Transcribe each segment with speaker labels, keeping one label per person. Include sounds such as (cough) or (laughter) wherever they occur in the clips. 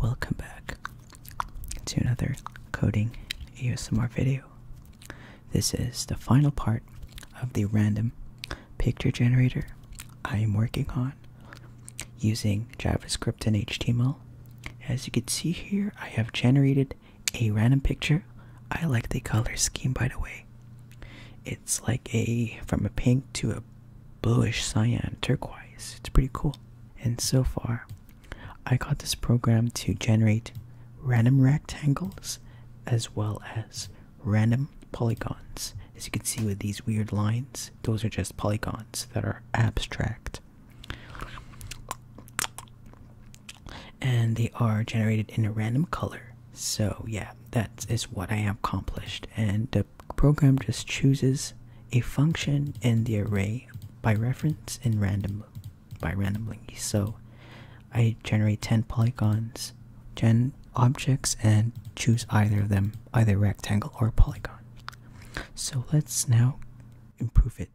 Speaker 1: Welcome back to another coding ESMR video. This is the final part of the random picture generator I am working on using JavaScript and HTML. As you can see here, I have generated a random picture. I like the color scheme by the way. It's like a from a pink to a bluish cyan turquoise. It's pretty cool. And so far, I got this program to generate random rectangles as well as random polygons. As you can see with these weird lines, those are just polygons that are abstract. And they are generated in a random color. So, yeah, that is what I accomplished. And program just chooses a function in the array by reference and by randomly. So I generate 10 polygons, 10 objects, and choose either of them, either rectangle or polygon. So let's now improve it.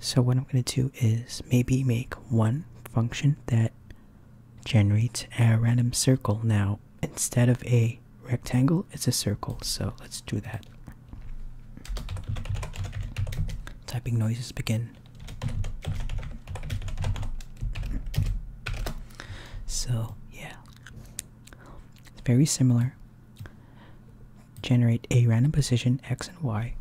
Speaker 1: So what I'm going to do is maybe make one function that generates a random circle. Now, instead of a rectangle, it's a circle, so let's do that. Typing noises begin. So, yeah. It's very similar. Generate a random position x and y.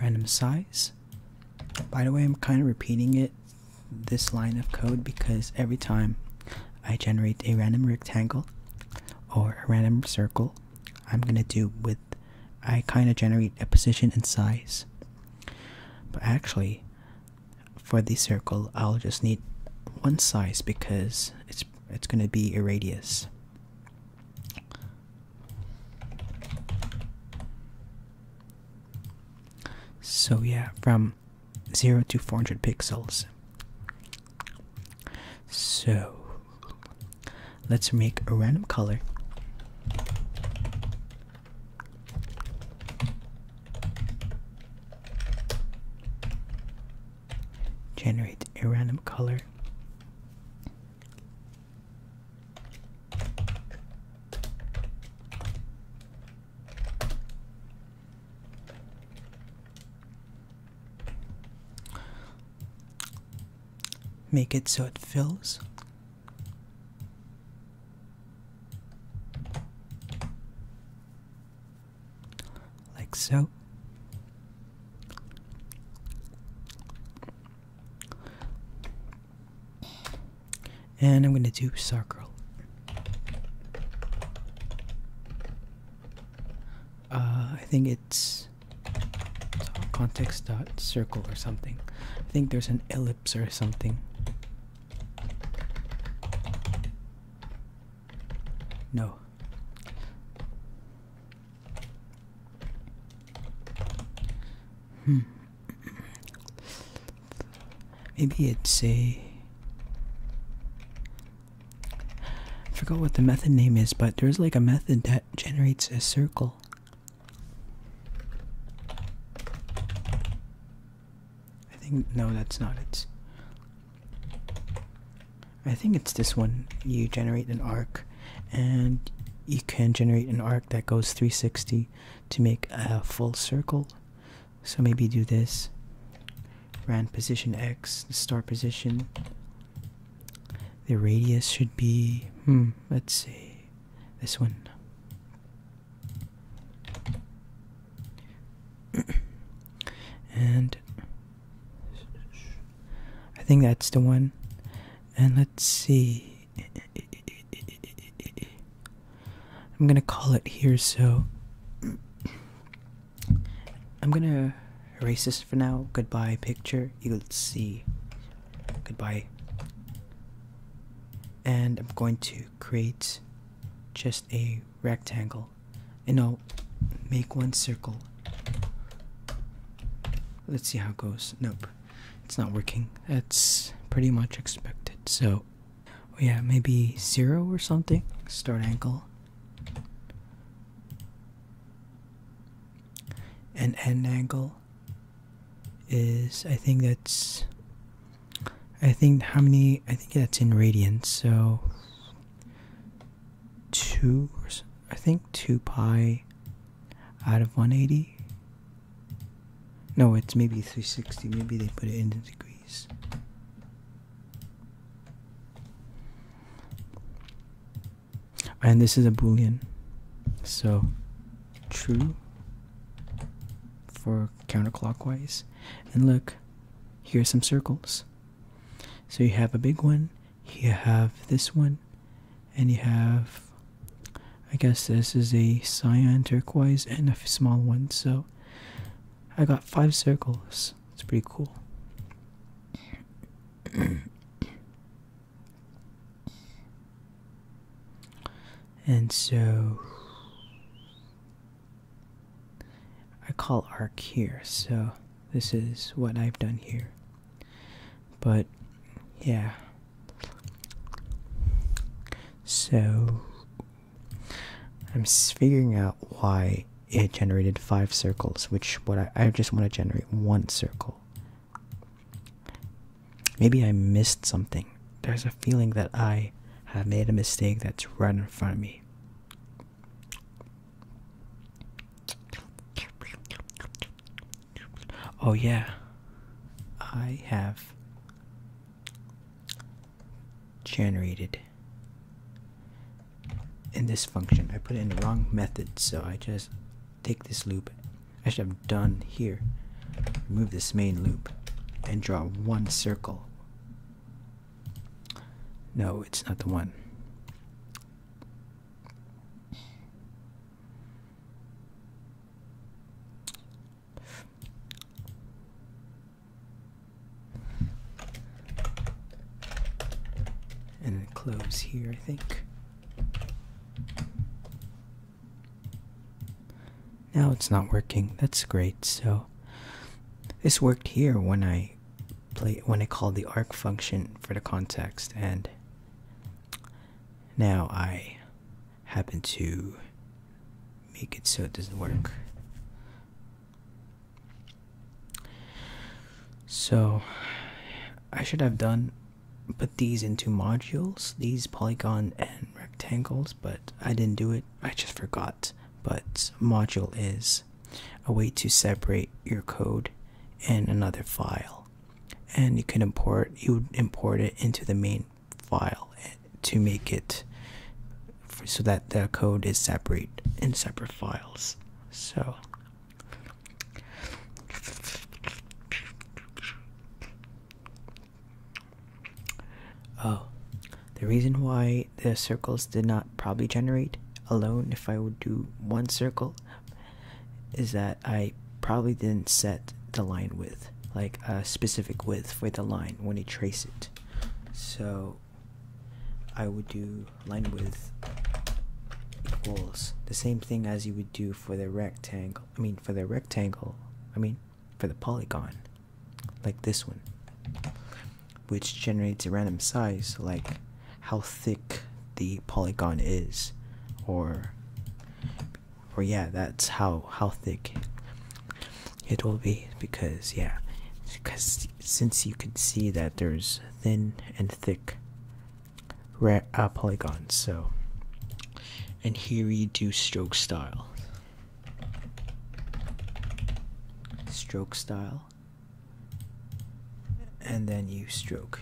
Speaker 1: Random size by the way, I'm kind of repeating it, this line of code, because every time I generate a random rectangle or a random circle, I'm gonna do with, I kind of generate a position and size. But actually, for the circle, I'll just need one size because it's it's gonna be a radius. So yeah, from 0 to 400 pixels. So let's make a random color. Generate a random color Make it so it fills. Like so and I'm going to do circle. Uh, I think it's context dot circle or something. I think there's an ellipse or something. No. Hmm. Maybe it's a. I forgot what the method name is, but there's like a method that generates a circle. I think. No, that's not it. I think it's this one. You generate an arc, and you can generate an arc that goes 360 to make a full circle. So maybe do this. Rand position X, the star position. The radius should be, hmm, let's see, this one. (coughs) and I think that's the one. And let's see. I'm gonna call it here, so I'm gonna erase this for now. Goodbye, picture. You'll see. Goodbye. And I'm going to create just a rectangle and I'll make one circle. Let's see how it goes. Nope it's not working. That's pretty much expected. So, yeah, maybe zero or something. Start angle. And n angle is, I think that's, I think how many, I think that's in radians. So, two, I think two pi out of 180 no, it's maybe 360. Maybe they put it in the degrees. And this is a boolean. So true for counterclockwise. And look, here are some circles. So you have a big one, you have this one, and you have i guess this is a cyan turquoise and a small one so i got five circles it's pretty cool and so i call arc here so this is what i've done here but yeah. So I'm figuring out why it generated five circles, which what I, I just want to generate one circle. Maybe I missed something. There's a feeling that I have made a mistake that's right in front of me. Oh yeah, I have generated in this function. I put it in the wrong method, so I just take this loop. I should have done here. Remove this main loop and draw one circle. No, it's not the one. And close here, I think. Now it's not working. That's great. So this worked here when I play when I called the arc function for the context and now I happen to make it so it doesn't work. So I should have done put these into modules, these polygon and rectangles, but I didn't do it. I just forgot. But module is a way to separate your code in another file and you can import you import it into the main file to make it so that the code is separate in separate files so oh the reason why the circles did not probably generate alone if i would do one circle is that I probably didn't set the line width, like a specific width for the line when you trace it. So I would do line width equals the same thing as you would do for the rectangle. I mean, for the rectangle, I mean, for the polygon, like this one, which generates a random size, like how thick the polygon is, or or yeah that's how how thick it will be because yeah because since you can see that there's thin and thick uh, polygons so and here you do stroke style stroke style and then you stroke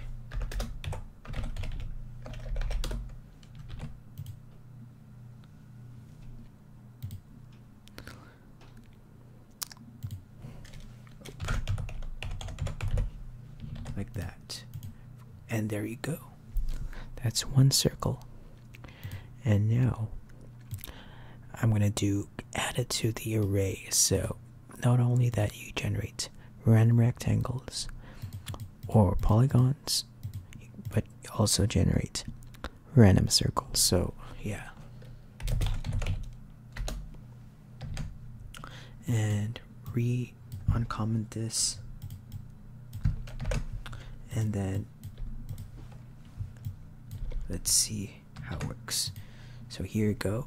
Speaker 1: like that. And there you go. That's one circle. And now I'm going to do add it to the array. So not only that you generate random rectangles or polygons, but also generate random circles. So, yeah. And re uncomment this, and then let's see how it works. So, here we go.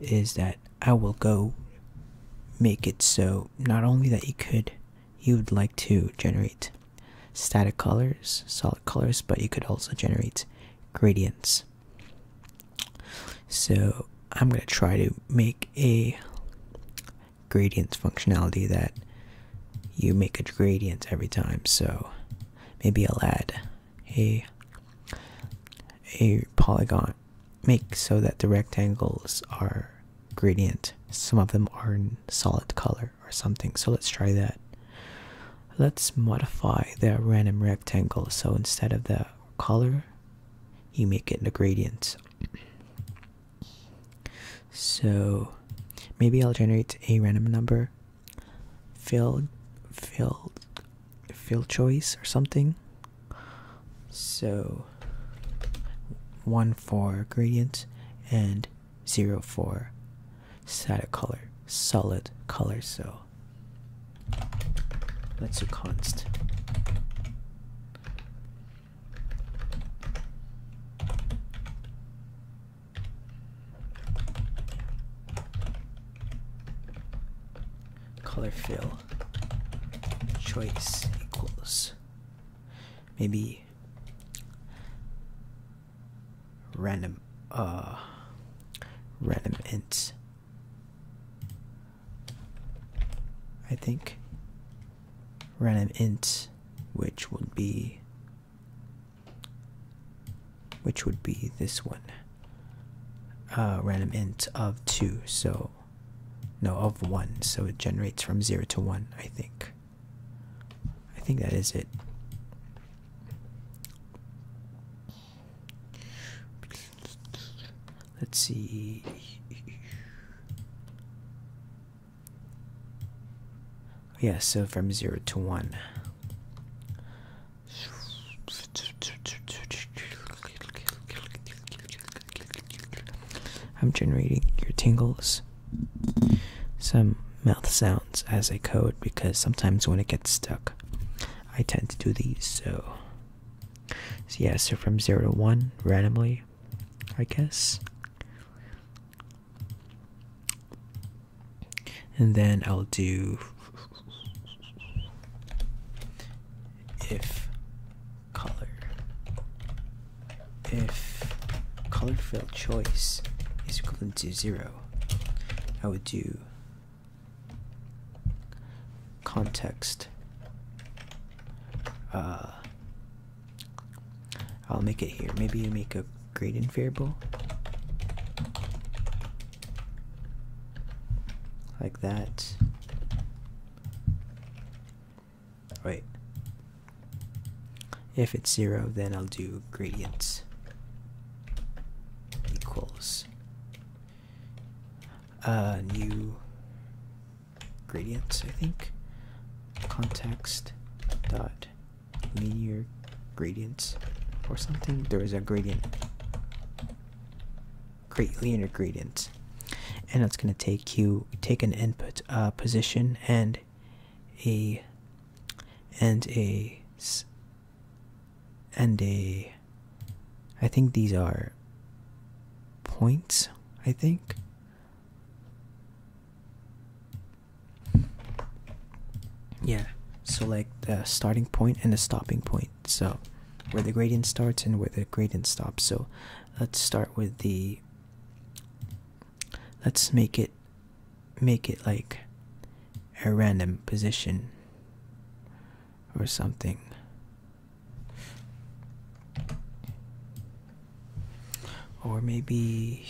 Speaker 1: is that I will go make it so not only that you could you would like to generate static colors, solid colors, but you could also generate gradients. So I'm going to try to make a gradients functionality that you make a gradient every time. So maybe I'll add a a polygon make so that the rectangles are gradient. Some of them are in solid color or something. So let's try that. Let's modify the random rectangle. So instead of the color, you make it a gradient. So maybe I'll generate a random number field field field choice or something so one for gradient and zero for static color solid color so that's a constant color fill choice equals maybe random uh random int I think random int which would be which would be this one. Uh, random int of 2, so no, of 1, so it generates from 0 to 1, I think. I think that is it. Let's see. Yeah, so from 0 to 1. I'm generating your tingles. Some mouth sounds as I code because sometimes when it gets stuck, I tend to do these. so yeah, so from 0 to 1 randomly, I guess and then I'll do if color if color field choice is equal to zero I would do context uh, I'll make it here maybe you make a gradient variable like that. Wait. If it's zero, then I'll do gradients equals uh, new gradients, I think. Context dot linear gradients or something. There is a gradient, great linear gradient, and that's going to take you take an input uh, position and a and a and a. I think these are points. I think yeah so like the starting point and the stopping point so where the gradient starts and where the gradient stops so let's start with the let's make it make it like a random position or something or maybe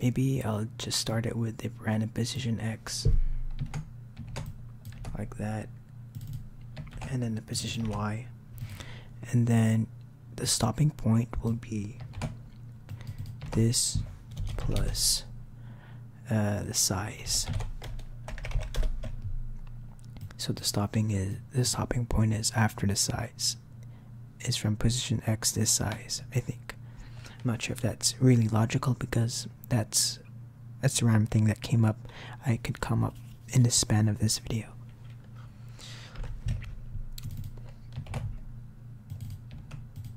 Speaker 1: Maybe I'll just start it with a random position X, like that, and then the position Y, and then the stopping point will be this plus uh, the size. So the stopping is the stopping point is after the size. is from position X this size, I think. not sure if that's really logical because that's that's the random thing that came up. I could come up in the span of this video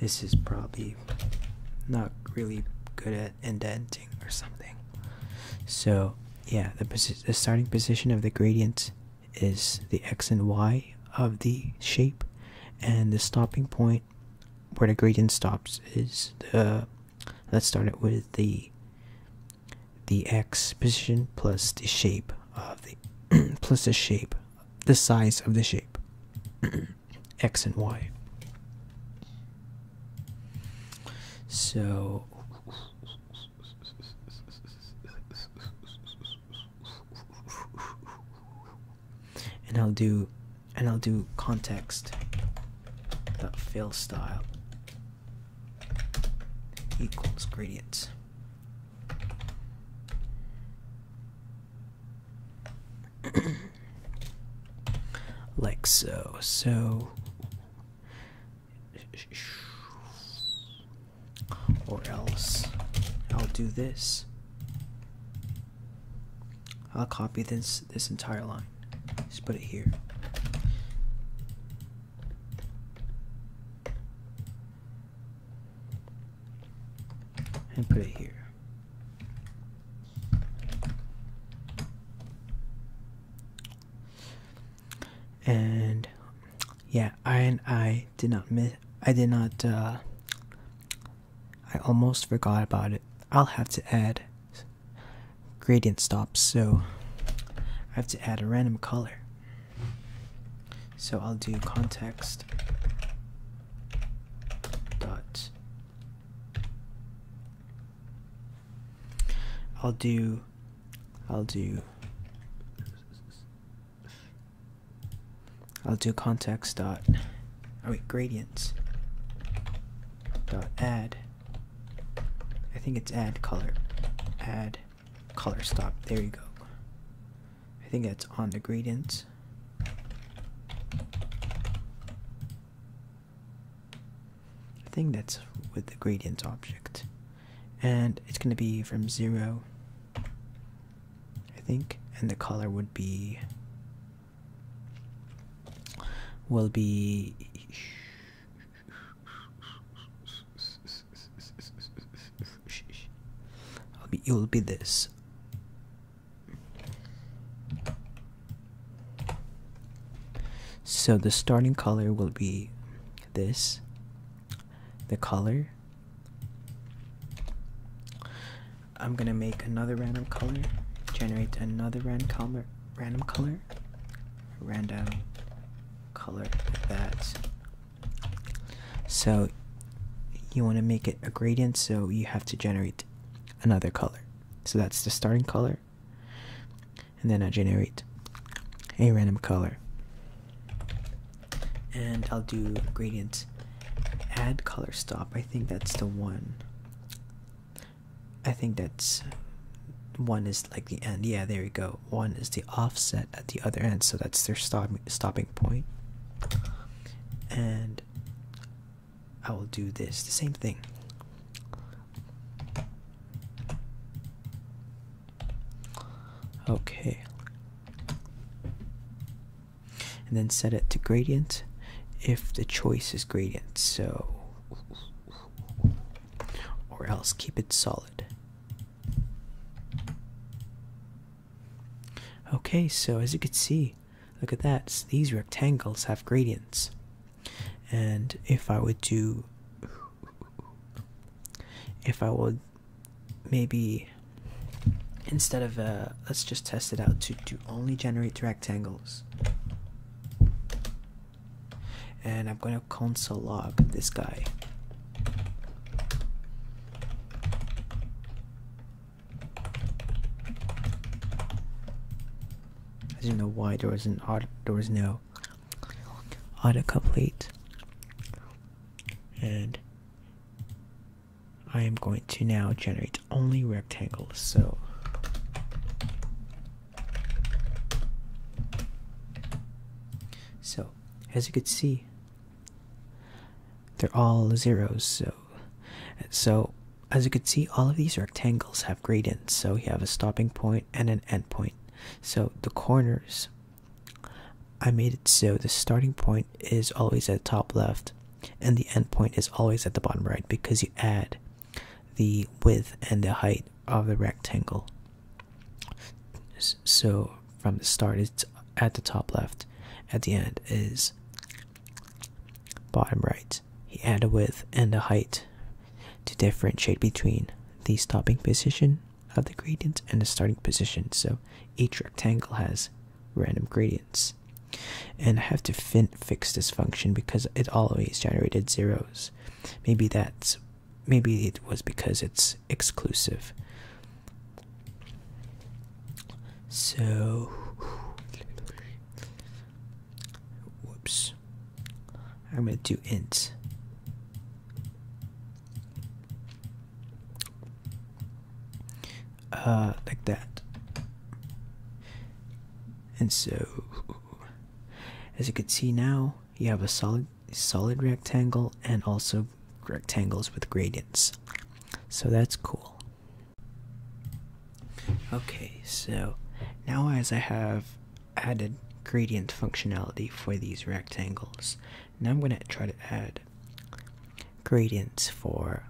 Speaker 1: This is probably not really good at indenting or something. So yeah, the, starting position of the gradient is the x and y of the shape, and the stopping point where the gradient stops is the. Let's start it with the the x position plus the shape of the (clears throat) plus the shape the size of the shape (clears throat) x and y so and I'll do and I'll do context fill style equals gradients (coughs) like so. So, or else I'll do this. I'll copy this this entire line. Just put it here and put it here. And yeah, I and I did not miss. I did not. Uh, I almost forgot about it. I'll have to add gradient stops, so I have to add a random color. So I'll do context dot. I'll do I'll do I'll do context dot oh wait gradients dot add I think it's add color add color stop there you go I think that's on the gradients. I think that's with the gradients object. And it's going to be from 0, I think. And the color would be, will be I'll be you'll be this. So the starting color will be this. The color. I'm gonna make another random color. Generate another random color. Random color. Random color that. So you want to make it a gradient, so you have to generate another color. So that's the starting color, and then I generate a random color, and I'll do gradient add color stop. I think that's the one. I think that's one is like the end. Yeah, there we go. One is the offset at the other end, so that's their stopping point and I will do this the same thing. Okay. And then set it to gradient if the choice is gradient. So or else keep it solid. Okay, so as you can see, look at that. these rectangles have gradients. And if I would do if I would maybe instead of uh let's just test it out to to only generate rectangles. And I'm going to console log this guy as you know why there was an auto, there was no autocomplete. And I am going to now generate only rectangles, so so as you could see they're all zeros, so so as you can see, all of these rectangles have gradients. So you have a stopping point and an end point. So the corners, I made it so the starting point is always at the top left, and the end point is always at the bottom right because you add the width and the height of the rectangle. So from the start it's at the top left at the end is bottom right he added a width and a height to differentiate between the stopping position of the gradient and the starting position so each rectangle has random gradients and i have to fix this function because it always generated zeros maybe that's maybe it was because it's exclusive. So, whoops, I'm going to do int. Uh, like that. And so, as you can see now, you have a solid solid rectangle and also rectangles with gradients. So that's cool. Okay, so now as I have added gradient functionality for these rectangles, now I'm going to try to add gradients for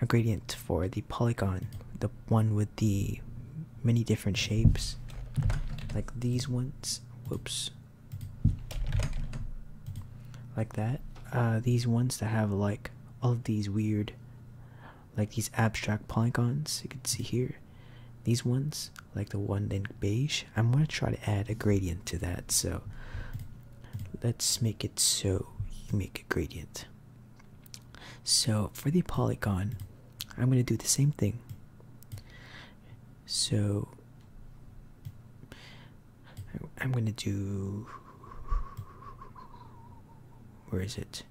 Speaker 1: a gradient for the polygon, the one with the many different shapes, like these ones. Whoops, like that uh, these ones that have like all of these weird like these abstract polygons you can see here these ones like the one in beige i'm going to try to add a gradient to that so let's make it so you make a gradient so for the polygon i'm going to do the same thing so I'm gonna do. Where is it?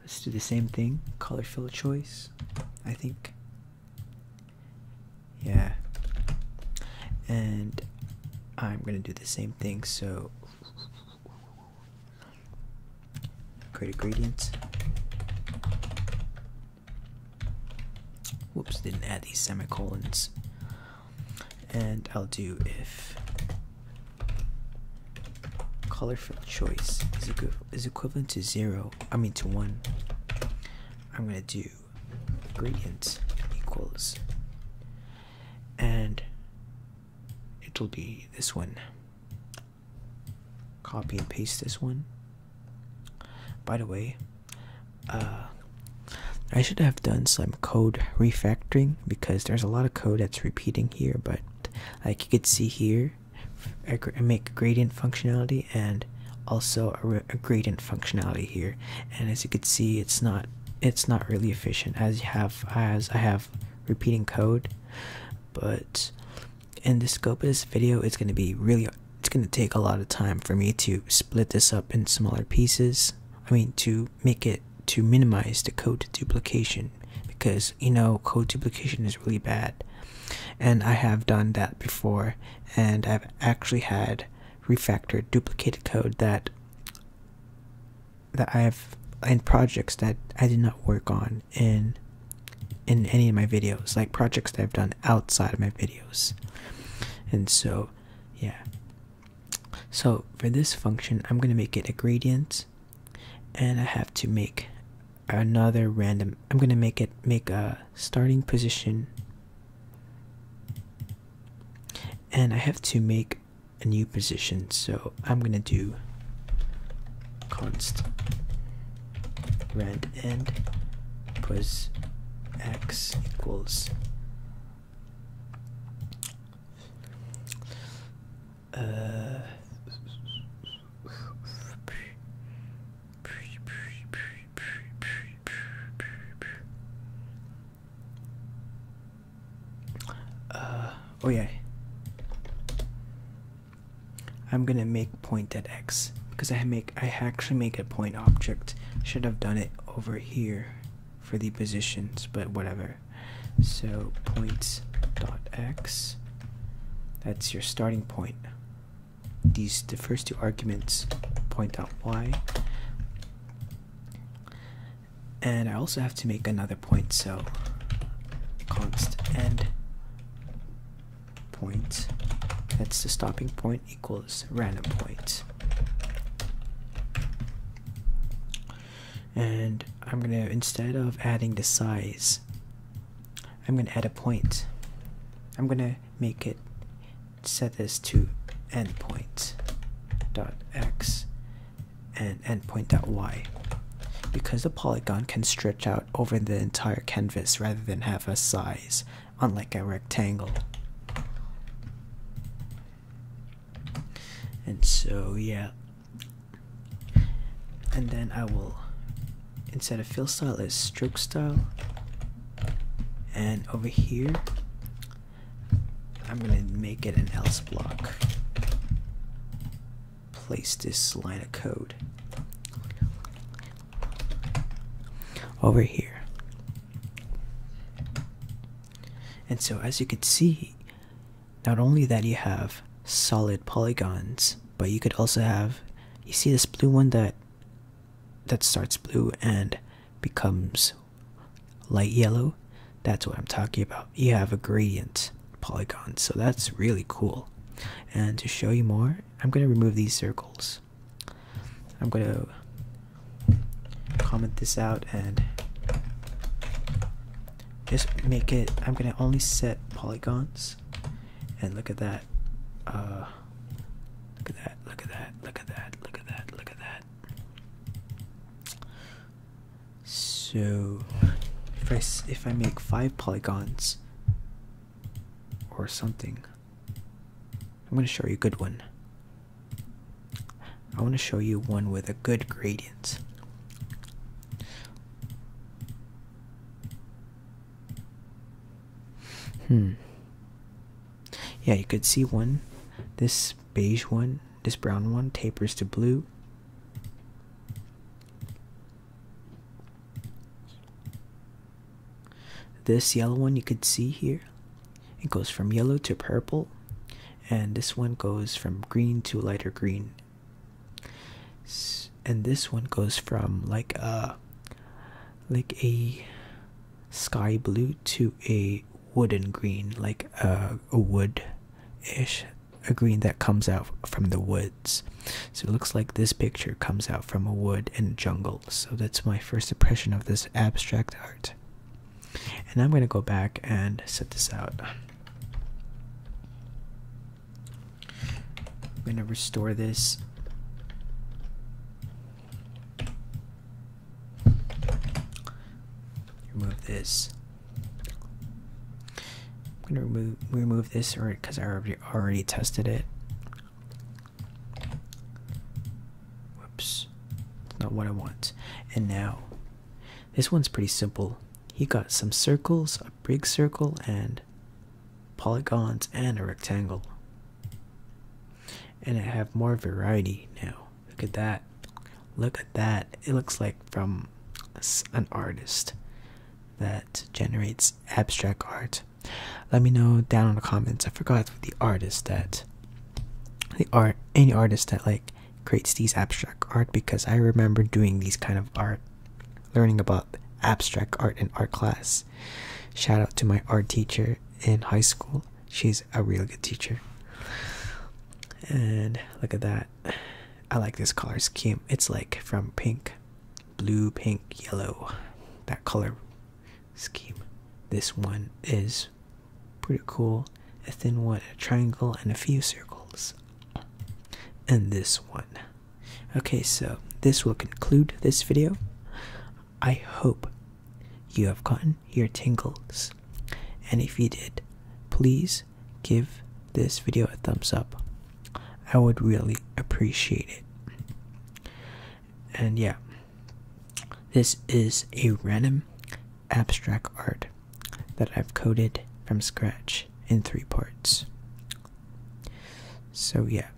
Speaker 1: Let's do the same thing. Color fill choice. I think. Yeah. And I'm gonna do the same thing. So Create gradients. Whoops, didn't add these semicolons. And I'll do if color for choice is, is equivalent to zero, I mean to one. I'm gonna do gradients equals and it'll be this one copy and paste this one. By the way, uh, I should have done some code refactoring because there's a lot of code that's repeating here, but like you could see here, I make gradient functionality and also a, gradient functionality here. And as you can see, it's not it's not really efficient as have as I have repeating code, but and the scope of this video is going to be really it's going to take a lot of time for me to split this up in smaller pieces i mean to make it to minimize the code duplication because you know code duplication is really bad and i have done that before and i've actually had refactored duplicated code that that i have in projects that i did not work on in in any of my videos like projects that i've done outside of my videos and so yeah so for this function i'm going to make it a gradient and i have to make another random i'm going to make it make a starting position and i have to make a new position so i'm going to do const rand n plus x equals uh, oh yeah I'm gonna make point at X because I make I actually make a point object. Should have done it over here for the positions, but whatever. So point dot X. That's your starting point. These the first two arguments point out Y. And I also have to make another point, so const end point that's the stopping point equals random point and i'm going to instead of adding the size i'm going to add a point i'm going to make it set this to endpoint dot x and endpoint dot y because the polygon can stretch out over the entire canvas rather than have a size, unlike a rectangle. And so, yeah. And then I will, instead of fill style, is stroke style. And over here, I'm gonna make it an else block place this line of code over here. And so, as you can see, not only that you have solid polygons, but you could also have you see this blue one that that starts blue and becomes light yellow. That's what I'm talking about. You have a gradient polygons so that's really cool and to show you more i'm going to remove these circles i'm going to comment this out and just make it i'm going to only set polygons and look at that uh, look at that look at that look at that look at that look at that so if i if i make five polygons or something. I'm going to show you a good one. I want to show you one with a good gradient. Hmm. Yeah, you could see one. This beige one, this brown one tapers to blue. This yellow one you could see here, it goes from yellow to purple, and this one goes from green to lighter green. And this one goes from like a like a sky blue to a wooden green, like uh, a, a wood ish a green that comes out from the woods. So it looks like this picture comes out from a wood and jungle. So that's my first impression of this abstract art. And I'm going to go back and set this out. I'm going to restore this. Remove this. I'm gonna remove remove this or because I already already tested it. Whoops, that's not what I want. And now, this one's pretty simple. He got some circles, a big circle, and polygons and a rectangle. And I have more variety now. Look at that. Look at that. It looks like from an artist that generates abstract art let me know down in the comments i forgot the artist that the art any artist that like creates these abstract art because i remember doing these kind of art learning about abstract art in art class shout out to my art teacher in high school she's a real good teacher and look at that I like this color scheme. It's like from pink, blue, pink, yellow, that color scheme. This one is pretty cool. A thin one, a triangle, and a few circles. And this one. Okay, so this will conclude this video. I hope you have gotten your tingles. And if you did, please give this video a thumbs up. I would really appreciate it. And yeah, this is a random abstract art that I've coded from scratch in three parts. So yeah,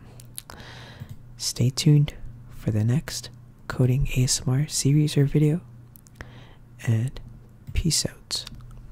Speaker 1: stay tuned for the next coding ASMR series or video, and peace out.